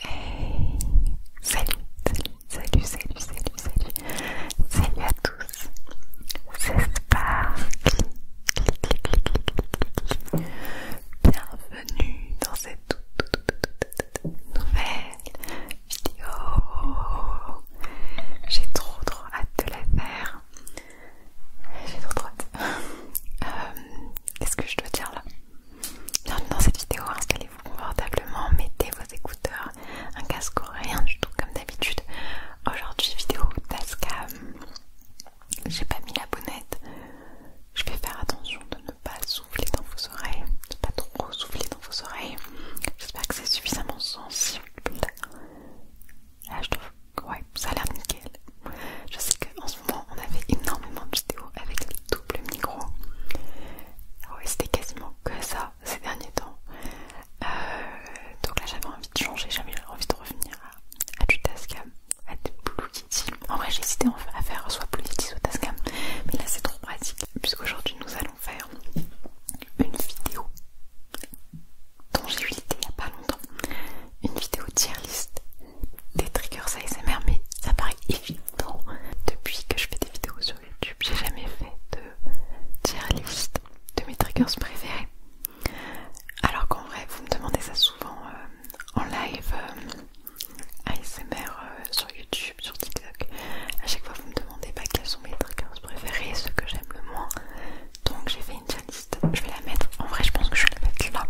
Hey Salut, salut, salut, salut, salut, salut à tous C'est pas Bienvenue dans cette toute, nouvelle vidéo J'ai trop trop hâte de la faire J'ai trop trop hâte euh, Qu'est-ce que je dois dire là dans cette vidéo, installez-vous confortablement, mettez vos écouteurs, un casque ou rien du tout comme d'habitude. Aujourd'hui, vidéo Taskam. J'ai pas mis la bonnette. Je vais faire attention de ne pas souffler dans vos oreilles, pas trop souffler dans vos oreilles. J'espère que c'est suffisamment sensible. Là, je trouve, que ça a l'air nickel. Je sais qu'en ce moment, on avait énormément de vidéos avec le double micro. Ah c'était quasiment que ça ces derniers temps. Euh, donc là, j'avais envie de changer, j'avais envie de revenir à, du Tascam, à du Blue Kitty. En vrai, j'hésitais à faire soit Blue Kitty soit Tascam, mais là, c'est trop pratique puisqu'aujourd'hui, nous allons faire une vidéo dont j'ai eu l'idée il n'y a pas longtemps, une vidéo tier list des triggers ASMR, mais ça paraît évident. Depuis que je fais des vidéos sur YouTube, j'ai jamais fait de tier list de mes triggers préférés. Alors qu'en vrai, vous me demandez ça souvent euh, en live euh, ASMR euh, sur YouTube, sur TikTok. À chaque fois, vous me demandez pas bah, quels sont mes triggers préférés, ceux que j'aime le moins. Donc j'ai fait une tier list. Je vais la mettre. En vrai, je pense que je vais la mettre là.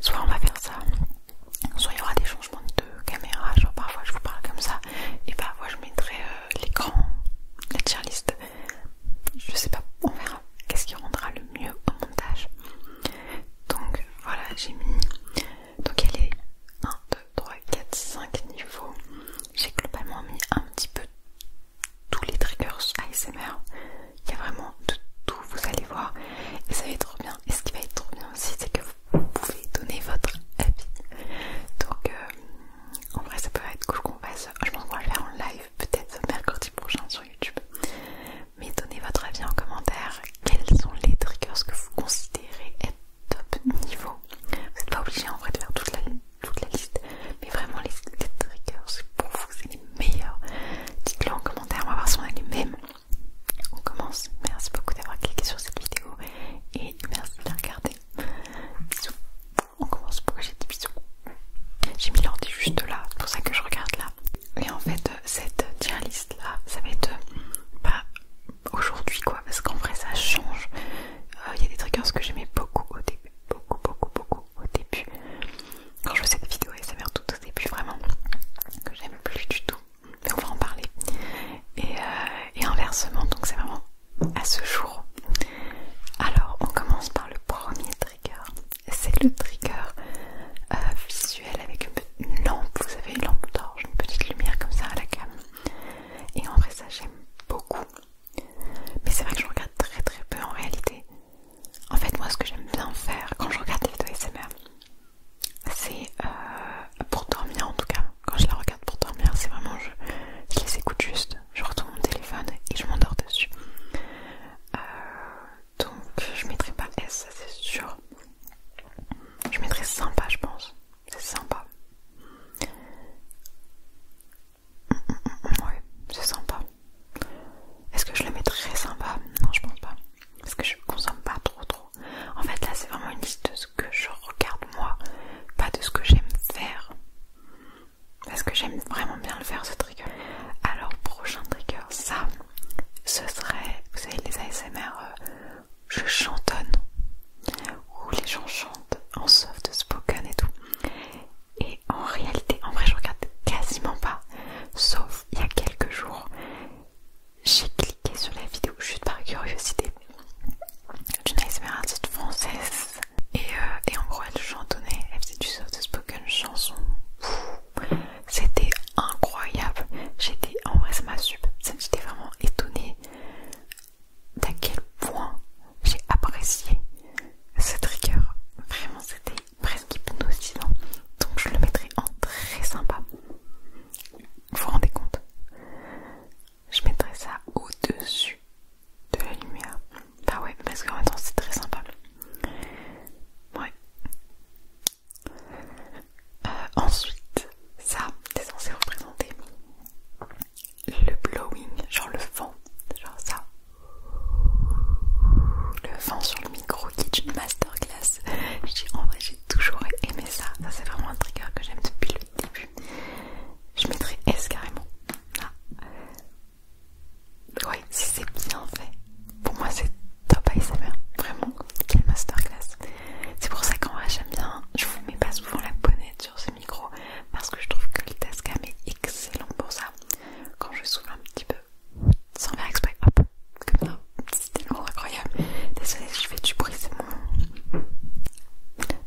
Soit on va faire ça, soit il y aura des changements de caméra, genre parfois je vous parle comme ça et parfois bah, je mettrai euh, l'écran, la tier list. Je sais pas, on verra qu'est-ce qui rendra le mieux au montage. Donc voilà, j'ai mis. Donc elle est 1, 2, 3, 4, 5 niveaux. J'ai globalement mis un petit peu tous les triggers ASMR il y a vraiment de tout, vous allez voir. Et ça va être trop bien. Et ce qui va être trop bien aussi, c'est que vous pouvez donner votre avis. Donc, euh, en vrai, ça peut être cool qu'on fasse. Je pense qu'on va le faire en live, peut-être mercredi prochain sur YouTube. Mais donnez votre avis en commentaire. Quels sont les triggers que vous considérez être top niveau Vous n'êtes pas obligé en vrai de faire toute la, liste, mais vraiment les, les triggers pour vous, c'est les meilleurs. Dites-le en commentaire, on va voir si on a les mêmes on commence. Merci beaucoup d'avoir cliqué sur cette vidéo et merci de la regarder. Bisous. On commence. Pourquoi j'ai dit bisous J'ai mis l'ordi juste là, c'est pour ça que je regarde là. Et en fait, euh, cette tier list là, ça va être euh, pas aujourd'hui quoi, parce qu'en vrai ça change. Euh, il y a des ce que j'aimais beaucoup au début, beaucoup, beaucoup, beaucoup au début quand je fais cette vidéo SMR tout au début vraiment que j'aime plus du tout mais on va en parler euh, et, inversement donc c'est vraiment à ce jour alors on commence par le premier trigger c'est le trigger euh, visuel avec une, lampe vous savez une lampe d'orge une petite lumière comme ça à la cam et en vrai ça j'aime beaucoup mais c'est vrai que je regarde très très peu en réalité en fait moi ce que j'aime bien faire quand je regarde des vidéos SMR c'est euh, pour dormir en tout cas quand je la regarde pour dormir c'est vraiment je, les écoute juste je retourne mon téléphone et je m'endors dessus euh, donc je mettrai pas S c'est sûr je mettrai sympa je pense c'est sympa mm, mm, mm, Oui, c'est sympa est-ce que je le mets très sympa Non, je pense pas. Parce que je consomme pas trop trop. En fait, là, c'est vraiment une liste de ce que je regarde moi, pas de ce que j'aime faire. Parce que j'aime vraiment bien le faire ce trigger. Alors, prochain trigger, ça, ce serait, vous savez, les ASMR, euh, je chantonne, où les gens chantent en soft spoken et tout. Et en réalité, en vrai, je regarde quasiment pas. Sauf il y a quelques jours, j'ai cliqué sur la vidéo juste par curiosité d'une ASMR française euh, et, en gros elle chantonnait, elle faisait du soft spoken chanson. C'était incroyable. J'étais en vrai ça m'a super, j'étais vraiment étonnée d'à quel point j'ai apprécié ce trigger. Vraiment c'était presque hypnotisant. Donc je le mettrai en très sympa. Vous vous rendez compte Je mettrai ça au-dessus de la lumière. Bah ouais, parce qu'en même temps c'est très sympa. Ouais. Euh, ensuite, ça, c'est censé représenter le blowing, genre le vent, genre ça. Le vent sur le micro kitchen est une masterclass. en vrai, j'ai toujours aimé ça. ça c'est vraiment un trigger que j'aime depuis le début. Je mettrai S carrément. Ah. Ouais, si c'est bien fait. Pour moi, c'est top ASMR. Vraiment, quelle masterclass. C'est pour ça qu'en vrai, j'aime bien. Je vous mets pas souvent la bonnette sur ce micro parce que je trouve que le Tascam est excellent pour ça. Quand je souffle un petit peu sans faire exprès, hop, comme ça, c'est tellement incroyable. Désolée si je fais du bruit, c'est bon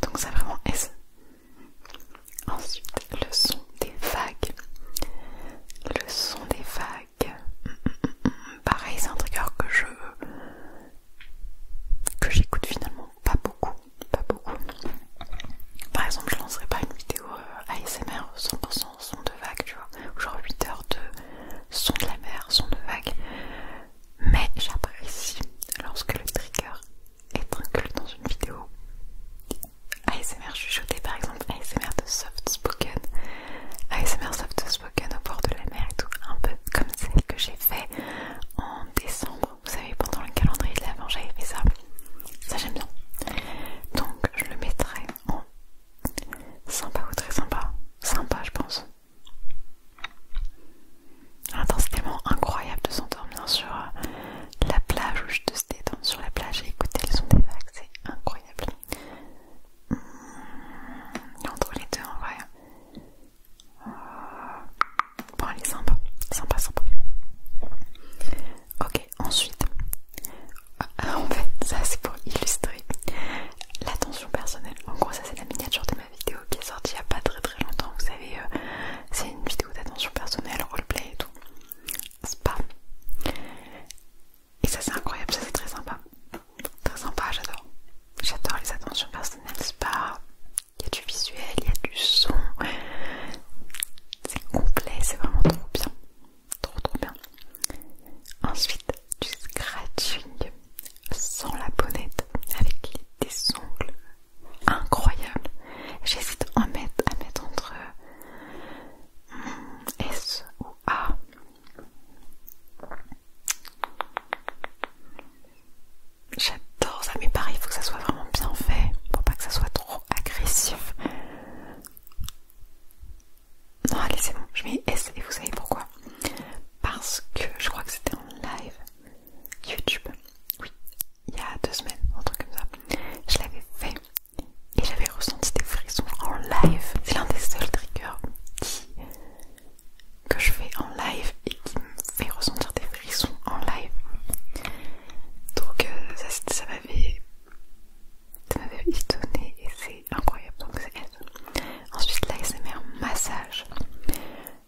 Donc c'est vraiment S. Ensuite, le son des vagues. Le son des vagues. Mm, mm, mm, Pareil, c'est un trigger que je... que j'écoute finalement pas beaucoup. Pas beaucoup. Par exemple, je lancerai pas une vidéo euh, ASMR 100% son, de vague, tu vois, genre 8 heures de son de la mer, son de vague. Mais j'apprécie lorsque le trigger est tranquille dans une vidéo. ASMR chuchoté par exemple, ASMR de soft spoken, ASMR soft spoken au bord de la mer et tout, un peu comme celle que j'ai fait en décembre, vous savez, pendant le calendrier de l'avant, j'avais fait ça. Ça j'aime bien. Donc je le mettrai en Sympa ou très sympa Sympa, je pense. Attends, c'est tellement incroyable de s'endormir sur euh, la plage où je te se détendre sur la plage et écouter le son des vagues, c'est incroyable. Hmm, entre les deux, en vrai. Euh, bon, elle est sympa, sympa, sympa. Ok, Ensuite, euh, en fait, ça c'est pour illustrer l'attention personnelle. En gros, ça c'est la miniature de ma vidéo qui est sortie il n'y a pas très très longtemps. Vous savez, euh, c'est une vidéo d'attention personnelle, roleplay et tout. Spa Et ça c'est incroyable, ça c'est très sympa. Très sympa, j'adore. J'adore les attentions personnelles, spa Il y a du visuel, il y a du son. C'est complet, c'est vraiment trop bien. Trop trop bien. Ensuite, du scratching sans la bonnette avec des ongles incroyables. J'hésite à mettre, à mettre entre hmm, S ou A. J'adore ça, mais pareil, il faut que ça soit vraiment bien fait pour pas que ça soit trop agressif. Non, allez, c'est bon, je mets S et vous savez pourquoi Parce que je crois que c'était en live YouTube, oui, il y a deux semaines, un truc comme ça. Je l'avais fait et j'avais ressenti des frissons en live. C'est l'un des seuls triggers que je fais en live et qui me fait ressentir des frissons en live. Donc, euh, ça, ça m'avait ça m'avait étonné et c'est incroyable. Donc c'est elle. Ensuite, l'ASMR massage.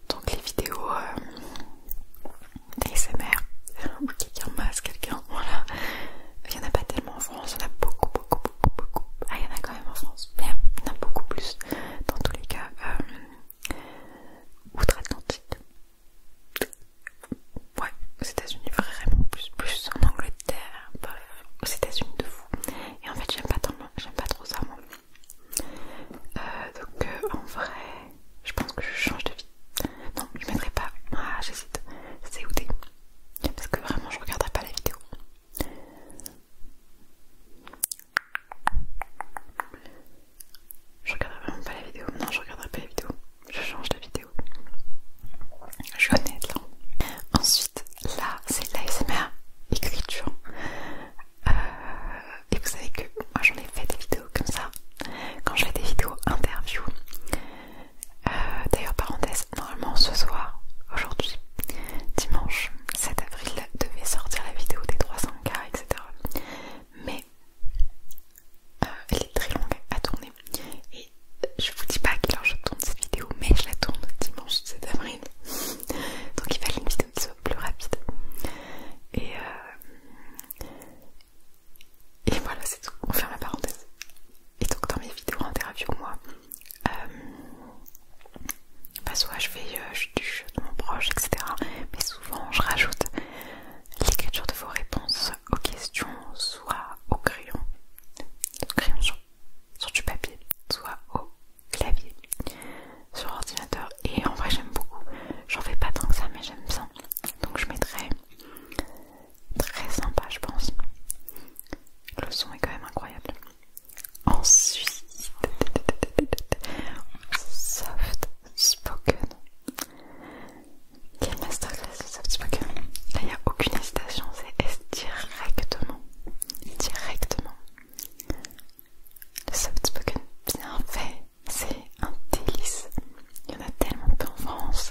Donc les vidéos euh, des où quelqu'un masse quelqu'un, voilà. Il n'y en a pas tellement en France, il y en a beaucoup, beaucoup, beaucoup, beaucoup. Ah, il y en a quand même en France, mais il y en a beaucoup plus dans tous les cas. Euh, Outre-Atlantique ouais, aux États-Unis vraiment plus, plus en Angleterre, bref, aux États-Unis de fou. Et en fait, j'aime pas tant, j'aime pas trop ça moi. Euh, donc euh, en vrai, je pense que je change de vie. Non, je mettrai pas. Ah, j'hésite. C'est t'es Parce que vraiment, je regarderai pas la vidéo. Je regarderai vraiment pas la vidéo. Non, je regarderai pas la vidéo je change de vidéo. Je connais de là. Ensuite, là, c'est l'ASMR écriture. Euh, et vous savez que moi j'en ai fait des vidéos comme ça. Quand je fais des vidéos interview. Euh, d'ailleurs, parenthèse, normalement ce soir, aujourd'hui, dimanche 7 avril, devait sortir la vidéo des 300K, etc. Mais euh, elle est très longue à tourner et euh, je vous dis pas à quelle heure je tourne cette vidéo mais je la tourne dimanche 7 avril donc il fallait une vidéo petit peu plus rapide et, euh, et voilà c'est tout, on ferme la parenthèse et donc dans mes vidéos interview moi bah, soit je fais du jeu de mon proche etc mais souvent je rajoute l'écriture de vos réponses aux questions soit au crayon, au crayon sur, sur du papier, soit au clavier, sur ordinateur. Et en vrai, j'aime beaucoup. J'en fais pas tant que ça, mais j'aime ça. Donc je mettrai très sympa, je pense. Le son est quand même incroyable. Ensuite, soft spoken. Quelle masterclass softspoken Là, il n'y a aucune incitation, c'est directement. Directement. Le soft spoken bien fait, c'est un délice. Il y en a tellement peu en France.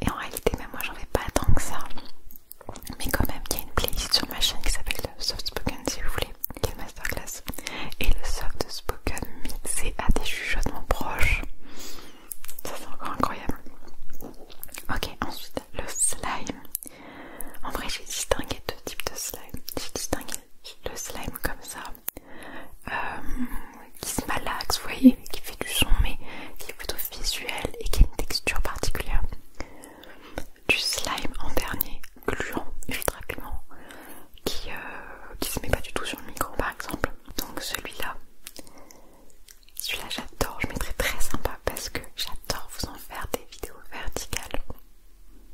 Et en réalité, même moi, j'en vais pas tant que ça. Mais quand même, il y a une playlist sur ma chaîne qui s'appelle le soft spoken si vous voulez. Quelle masterclass Et le soft spoken c'est à des chuchotements proches. Ça c'est encore incroyable. Ok, ensuite le slime. En vrai, j'ai distingué deux types de slime. J'ai distingué le slime comme ça, euh, qui se malaxe, vous voyez, qui fait du son, mais qui est plutôt visuel et qui a une texture particulière. Du slime en dernier, gluant, ultra gluant, qui, euh, qui se met pas du tout sur le micro par exemple. Donc celui-là, celui-là j'adore, je mettrais très sympa parce que j'adore vous en faire des vidéos verticales.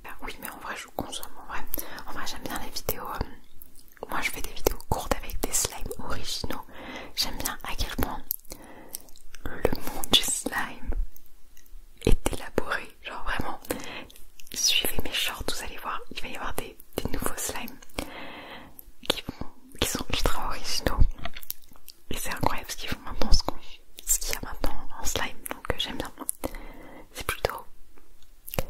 Ah oui mais en vrai je vous consomme, en vrai, en vrai j'aime bien les vidéos, euh, moi je fais des vidéos courtes avec des slimes originaux, j'aime bien à quel point le monde du slime est élaboré, genre vraiment, suivez mes shorts, vous allez voir, il va y avoir des des, nouveaux slimes qui, sont ultra originaux et c'est incroyable parce qu'ils font maintenant ce qu'il y a maintenant en slime donc euh, j'aime bien c'est plutôt euh,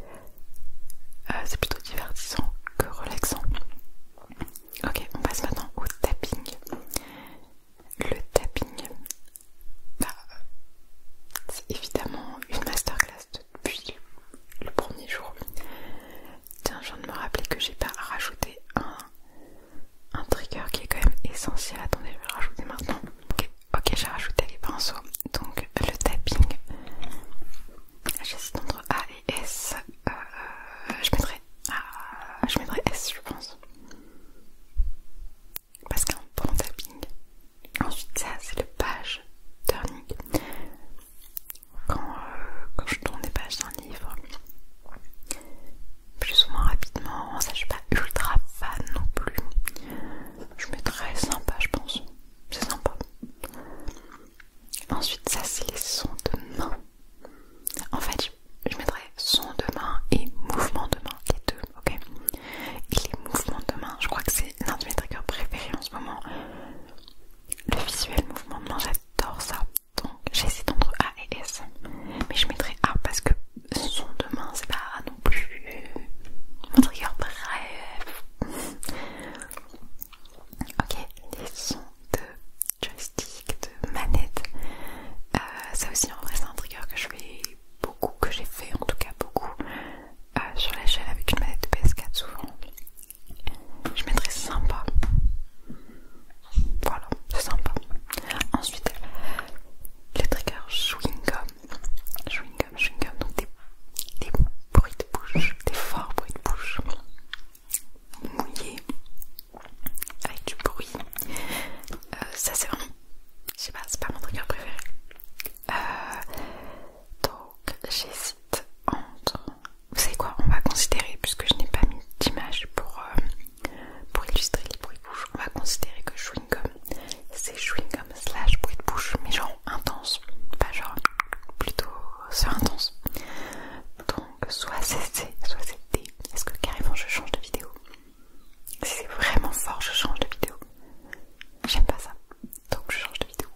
c'est plutôt divertissant que relaxant ok on passe maintenant au tapping le tapping bah, c'est évidemment une masterclass puis, le premier jour. Tiens, je viens de me rappeler que j'ai pas rajouté un, un trigger qui est quand même essentiel. Attendez, je vais le rajouter maintenant. Ok, ok j'ai rajouté les pinceaux. Donc le tapping, j'hésite entre A et S. Euh, euh, je mettrai je mettrai S je pense parce qu'un bon tapping ensuite ça c'est le page turning euh, quand, je tourne les pages d'un livre, plus ou moins rapidement. Ça, je suis pas ultra fan non plus. Je mettrais sympa, je pense. C'est sympa. Ensuite, ça, c'est les sons de main. En fait, je mettrais sons de main et mouvements de main, les deux, ok les mouvements de main, je crois que c'est l'un de mes triggers préférés en ce moment le visuel mouvement de main, j'adore ça. Donc j'essaie d'entre A et S. Mais je mettrai A parce que son de main, c'est pas non plus mon trigger. Bref. ok, les sons de joystick, de manette. Euh, ça aussi, en vrai, c'est un trigger que je fais beaucoup, que j'ai fait en tout cas beaucoup. Euh, sur la chaîne avec une manette PS4 souvent. Je mettrai sympa. Voilà, c'est sympa. Ensuite, le triggers chewing-gum. Chewing-gum, chewing-gum, donc des, bruits de bouche, des forts bruits de bouche. mouillé avec du bruit. Euh, ça c'est vraiment... Je sais pas, c'est pas mon trigger préféré. Euh, donc j'hésite entre... Vous savez quoi On va considérer, puisque je n'ai pas mis d'image pour, euh, pour illustrer les bruits de bouche, on va considérer que chewing-gum, c'est chewing-gum slash bruit de bouche, mais genre intense, pas genre plutôt sur intense. Donc soit c'est C, soit c'est D. Est-ce que carrément je change de vidéo Si c'est vraiment fort, je change de vidéo. J'aime pas ça donc je change de vidéo.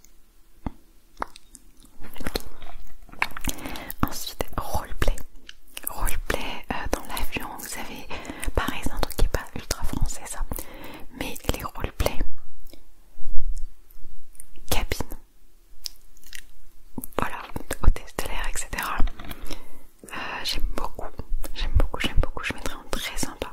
Ensuite, roleplay. Roleplay euh, dans l'avion, vous savez, pareil, c'est un truc qui n'est pas ultra français ça, mais les roleplay cabine, voilà, hôtesse de l'air, etc. Euh, j'aime beaucoup, j'aime beaucoup, j'aime beaucoup, je mettrai en très sympa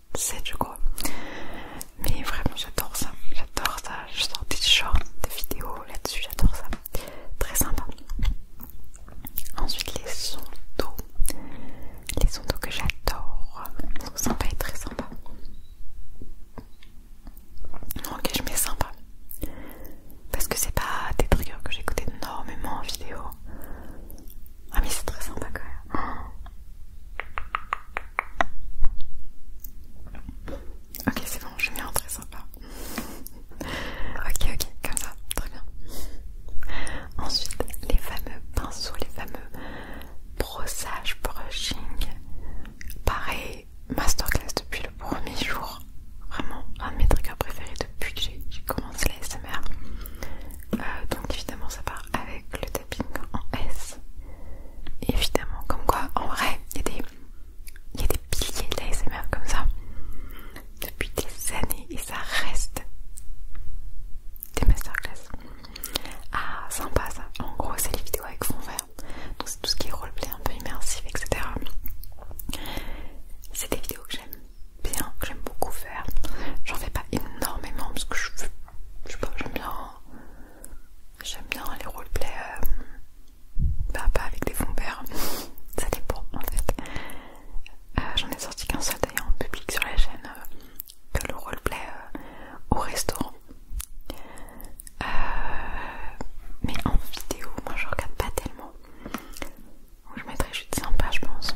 7 je crois. Mais vraiment j'adore ça, j'adore ça. Je sors des shorts, de vidéos là-dessus, j'adore ça. Très sympa. Ensuite les sons Les sons que j'adore. Sont sympas et très sympas. Ok je mets sympa. Parce que c'est pas des triggers que j'écoute énormément en vidéo. Ah mais c'est très sympa quand même. Ok, c'est bon, je mets un très sympa. ok, ok, comme ça, très bien. Ensuite, les fameux pinceaux, les fameux brossage brushing. Pareil, masterclass depuis le premier jour. Vraiment, un de mes triggers préférés depuis que j'ai commencé la euh, donc évidemment ça part avec le tapping en S évidemment. Comme quoi, en vrai, il y, a des piliers de comme ça depuis des années et ça reste des masterclass. Ah, sympa ça. En gros, c'est les vidéos avec fond vert. Donc, c'est tout ce qui est roleplay un peu immersif, etc. C'est des vidéos que j'aime bien, que j'aime beaucoup faire. J'en fais pas énormément parce que je veux je pas, j'aime bien, j'aime bien les roleplays, euh, bah, pas avec des fonds verts, ça dépend en fait. Euh, j'en ai sorti qu'un seul d'ailleurs en public sur la chaîne, euh, que le roleplay au restaurant. mais en vidéo, moi je regarde pas tellement. je mettrais juste sympa, je pense.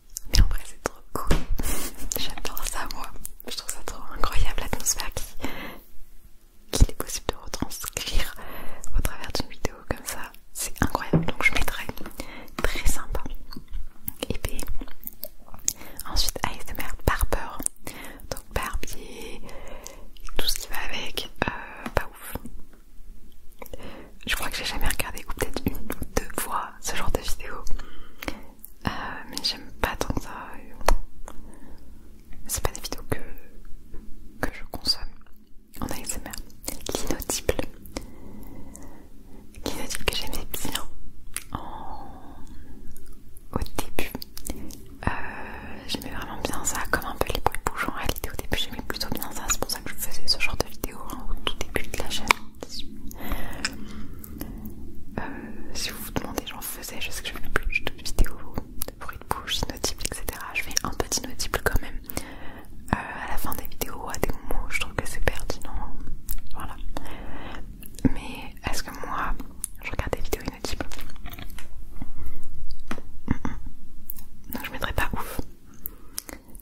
mais après c'est trop cool. J'adore ça, moi. Je trouve ça trop incroyable l'atmosphère qu'il est possible de retranscrire au travers d'une vidéo comme ça. C'est incroyable. Donc, je mettrai très sympa. Et puis, ensuite, Merde Barber. Donc, barbier, tout ce qui va avec. Euh, pas ouf. Je crois que j'ai jamais regardé, ou peut-être une ou deux fois, ce genre de vidéo. Euh, mais j'aime pas tant ça. C'est pas des vidéos que, je consomme en ASMR. L'inaudible. L'inaudible que j'aimais bien au début. Euh, j'aimais vraiment bien ça, comme un peu les bruits bouge en réalité. Au début, j'aimais plutôt bien ça que je faisais ce genre de vidéos hein, au tout début de la chaîne. Euh, si vous vous demandez, j'en faisais, je sais que je fais plus de vidéos de bruit de bouche, inaudible, etc. Je fais un petit inaudible quand même euh, à la fin des vidéos, à des moments je trouve que c'est pertinent. Voilà. Mais est-ce que moi, je regarde des vidéos inaudibles Non, je mettrai pas ouf.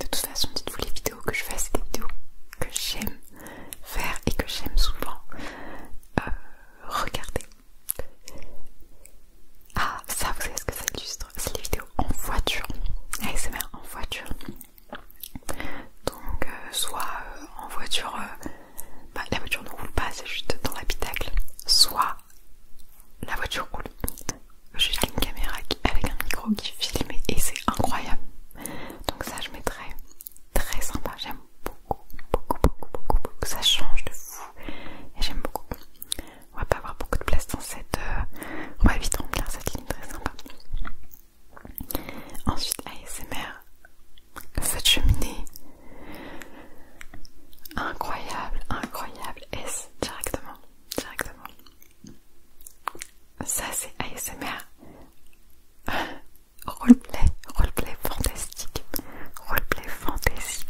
De toute façon, dites-vous les vidéos que je fais, c'est des vidéos que j'aime faire et que j'aime souvent euh, regarder. Ah, ça, vous savez ce que ça illustre C'est les vidéos en voiture, ASMR en voiture. Donc, euh, soit euh, en voiture, bah, la voiture ne roule pas, c'est juste dans l'habitacle, soit la voiture roule juste une caméra avec un micro qui filme et c'est incroyable. Donc ça je mettrai très sympa. J'aime beaucoup, beaucoup, beaucoup, beaucoup, beaucoup. Ça change de fou et j'aime beaucoup. On va pas avoir beaucoup de place dans cette... Euh, on va vite remplir cette ligne très sympa. Ensuite ASMR, cette cheminée. Incroyable, incroyable. S directement, directement. Ça c'est ASMR Roleplay, roleplay fantastique Roleplay fantasy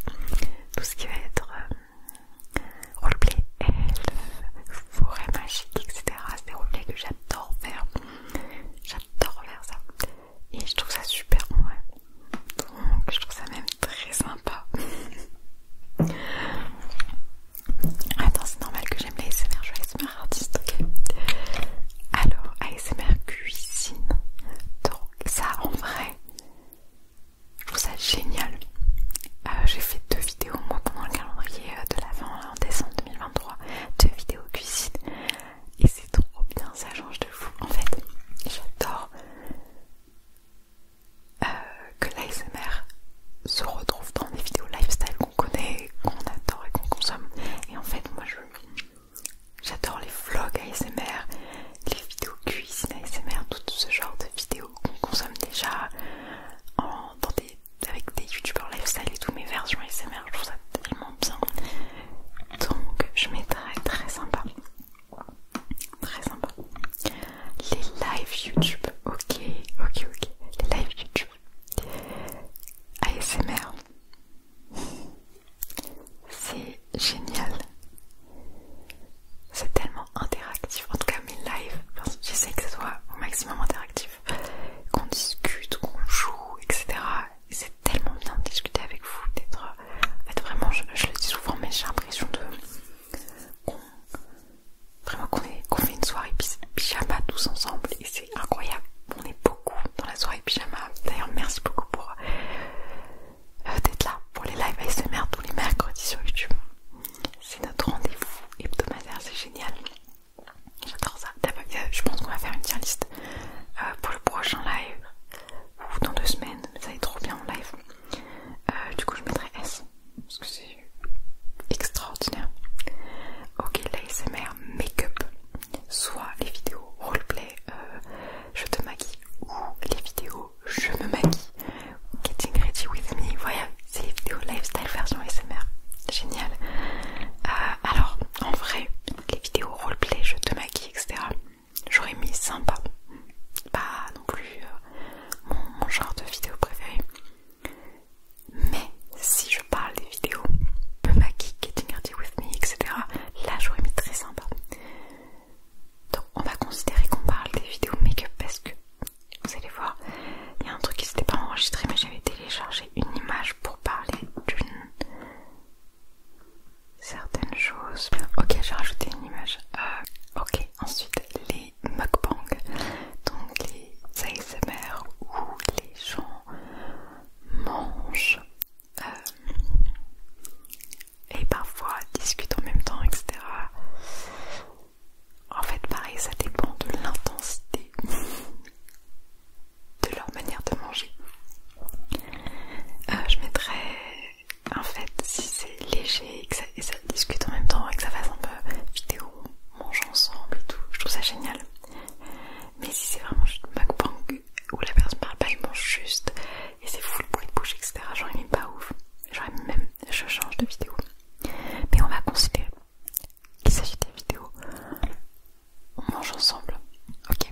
Tout ce qui va être euh, roleplay elf, forêt magique, etc. C'est des roleplays que j'adore faire J'adore faire ça Et je trouve ça super ouais. Donc je trouve ça même très sympa Attends, c'est normal que j'aime l'ASMR, je suis ASMR artiste, ok Alors, ASMR cuisine, donc ça en vrai, je trouve ça génial. Euh, j'ai fait deux vidéos moi pendant le calendrier euh, de l'avant en décembre 2023, deux vidéos cuisine, et c'est trop bien, ça change de fou. En fait, j'adore euh, que l'ASMR se retrouve dans des vidéos lifestyle qu'on connaît, qu'on adore et qu'on consomme. Et en fait, moi, j'adore les vlogs ASMR, les vidéos cuisine ASMR, tout ce genre de vidéos qu'on consomme déjà avec des youtubeurs lifestyle et tout, mes versions ASMR, je trouve ça tellement bien. Donc, je mettrai très sympa. Très sympa les lives YouTube. Ok, ok, ok. Les lives YouTube. ASMR. C'est génial. C'est tellement interactif. En tout cas, mes lives, j'essaie que ce soit au maximum interactif. Qu'on discute, qu'on joue, etc. c'est tellement bien de discuter avec vous. D'être. En vraiment, je, le dis souvent, mais j'ai l'impression de. Vraiment qu'on fait une soirée pyjama tous ensemble et c'est incroyable. On est beaucoup dans la soirée pyjama. D'ailleurs merci beaucoup pour euh, d'être là pour les lives ASMR tous les mercredis sur YouTube. C'est notre rendez-vous hebdomadaire, c'est génial. J'adore ça. Euh, je pense qu'on va faire une tier list euh, pour le prochain live ou dans deux semaines. Ça va être trop bien en live. du coup je mettrai S parce que c'est extraordinaire. Ok, l'ASMR make-up, soit les vidéos roleplay, euh, je te maquille, ou les vidéos je me maquille, getting ready with me, voilà, c'est les vidéos lifestyle version S.M.R. génial. Euh, alors, en vrai, les vidéos roleplay, je te maquille, etc., j'aurais mis sympa, pas non plus euh, mon genre de vidéo préférée. Mais si je parle des vidéos, de maquille, getting Ready with me, etc., là j'aurais mis très sympa. Donc on va considérer qu'on parle des vidéos make-up parce que vous allez voir, il y a un truc qui s'était pas enregistré, mais j'avais téléchargé une image pour parler d'une certaine chose. Ok, j'ai rajouté une image. Euh, ok, ensuite les les donc les ASMR où les gens mangent euh, et parfois discutent en même temps, etc. En fait, pareil, ça dépend de l'intensité de leur manière de manger. Euh, je mettrais en fait, si c'est léger et que ça discute en même temps et que ça fasse un peu vidéo, on mange ensemble et tout, je trouve ça génial. Mais si c'est vraiment juste mukbang où la personne parle pas, je mange juste et c'est fou le bruit bouche, etc. J'aurais il pas ouf. J'aurais même, je change de vidéo. Mais on va considérer qu'il s'agit des vidéos. On mange ensemble, ok.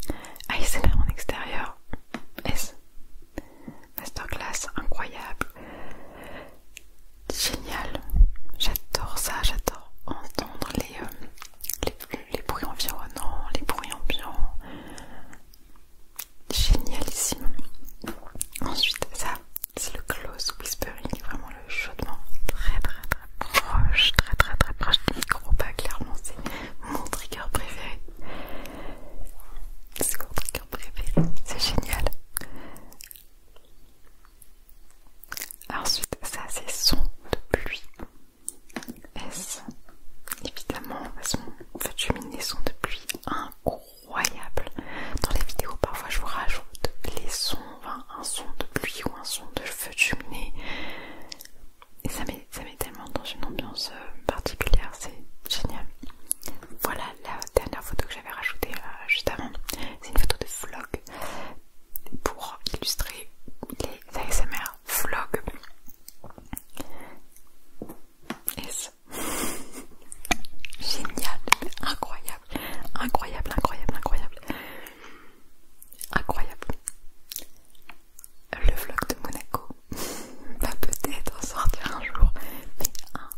c'est ah, ASMR en extérieur, S masterclass incroyable, génial. J'adore ça, j'adore entendre euh, les, les, bruits environnants, les bruits ambiants. Génialissime. Ensuite, ça, c'est le close whispering, vraiment le chaudement très très très proche, très très très proche du micro, pas clairement, c'est mon trigger préféré. C'est mon trigger préféré, c'est génial. Ensuite, ça c'est son de pluie. S. Évidemment, son feu de cheminée, son de pluie incroyable. Dans les vidéos, parfois je vous rajoute les sons, un son de pluie ou un son de feu de cheminée. Et ça ça met tellement dans une ambiance euh, particulière, c'est génial. Voilà, la dernière photo que j'avais rajoutée euh, juste avant, c'est une photo de vlog pour illustrer les ASMR vlog. Génial, incroyable, incroyable, incroyable, incroyable, incroyable. Le vlog de Monaco va peut-être sortir un jour,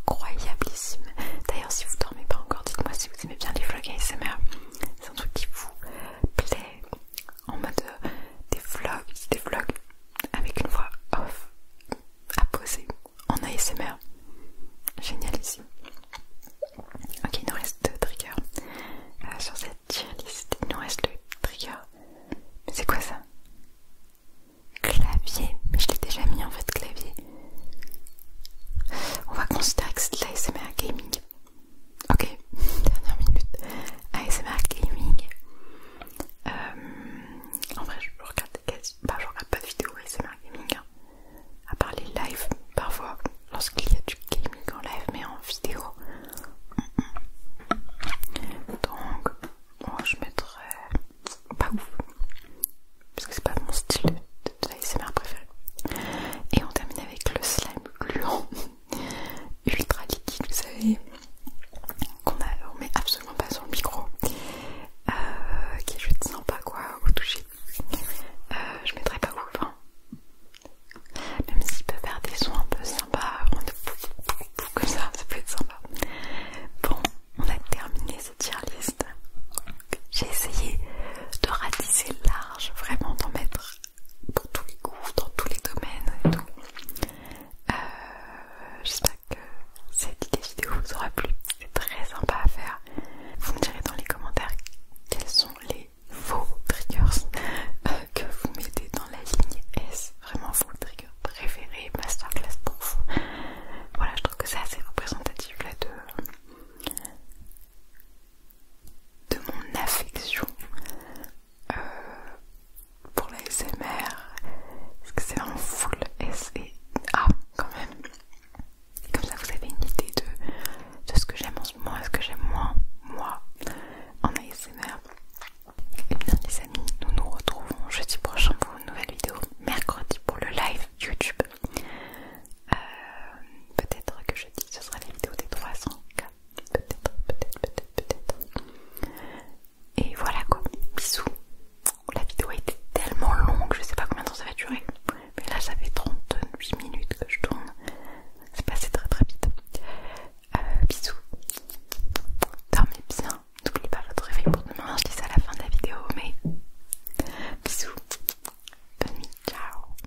incroyablissime. D'ailleurs, si vous dormez pas encore, dites-moi si vous aimez bien les vlogs ASMR. C'est un truc qui vous plaît en mode euh, des vlogs, des vlogs avec une voix off à poser en ASMR. Génial ici. Ok, il nous reste deux triggers euh, sur cette liste Il nous reste le trigger. c'est quoi ça clavier, mais je l'ai déjà mis en fait clavier. On va considérer que c'est de l'ASMR gaming. Ok, dernière minute. ASMR gaming. Euh, en vrai, je regarde bah, pas de vidéo ASMR gaming, hein. à part les lives parfois lorsqu'il y a du gaming en live, mais en vidéo. Mm, mm. Donc, moi je mettrais pas ouf parce que c'est pas mon style de, de, c'est préférée préféré et on termine avec le slime gluant ultra liquide vous savez qu'on met absolument pas sur le micro euh, qui est juste sympa quoi au toucher euh, je mettrai pas ouf hein. même s'il peut faire des sons un peu sympas on comme ça ça peut être sympa bon on a terminé j'ai essayé de ratisser large, vraiment d'en mettre pour tous les goûts, dans tous les domaines et tout. Euh, j'espère que cette vidéo vous aura plu. C'est très sympa à faire. Vous me direz dans les commentaires quels sont les faux triggers euh, que vous mettez dans la ligne S. Vraiment faux triggers préféré masterclass prof Voilà, je trouve que c'est assez représentatif de, de mon affection euh, pour l'ASMR Parce que c'est un full S et A quand même. Et comme ça, vous avez une idée de, ce que j'aime en ce moment et ce que j'aime moins, moi, en ASMR nous nous retrouvons jeudi prochain pour une nouvelle vidéo, mercredi pour le live YouTube. Euh, peut-être que jeudi ce sera la vidéo des 300K. Peut-être, peut-être, peut-être, peut-être. Et voilà quoi, bisous. La vidéo a été tellement longue, je sais pas combien de temps ça va durer. Mais là ça fait 38 minutes que je tourne. C'est passé très très vite. Euh, bisous. Dormez bien. N'oubliez pas votre réveil pour demain, je dis ça à la fin de la vidéo, mais bisous, bonne nuit, ciao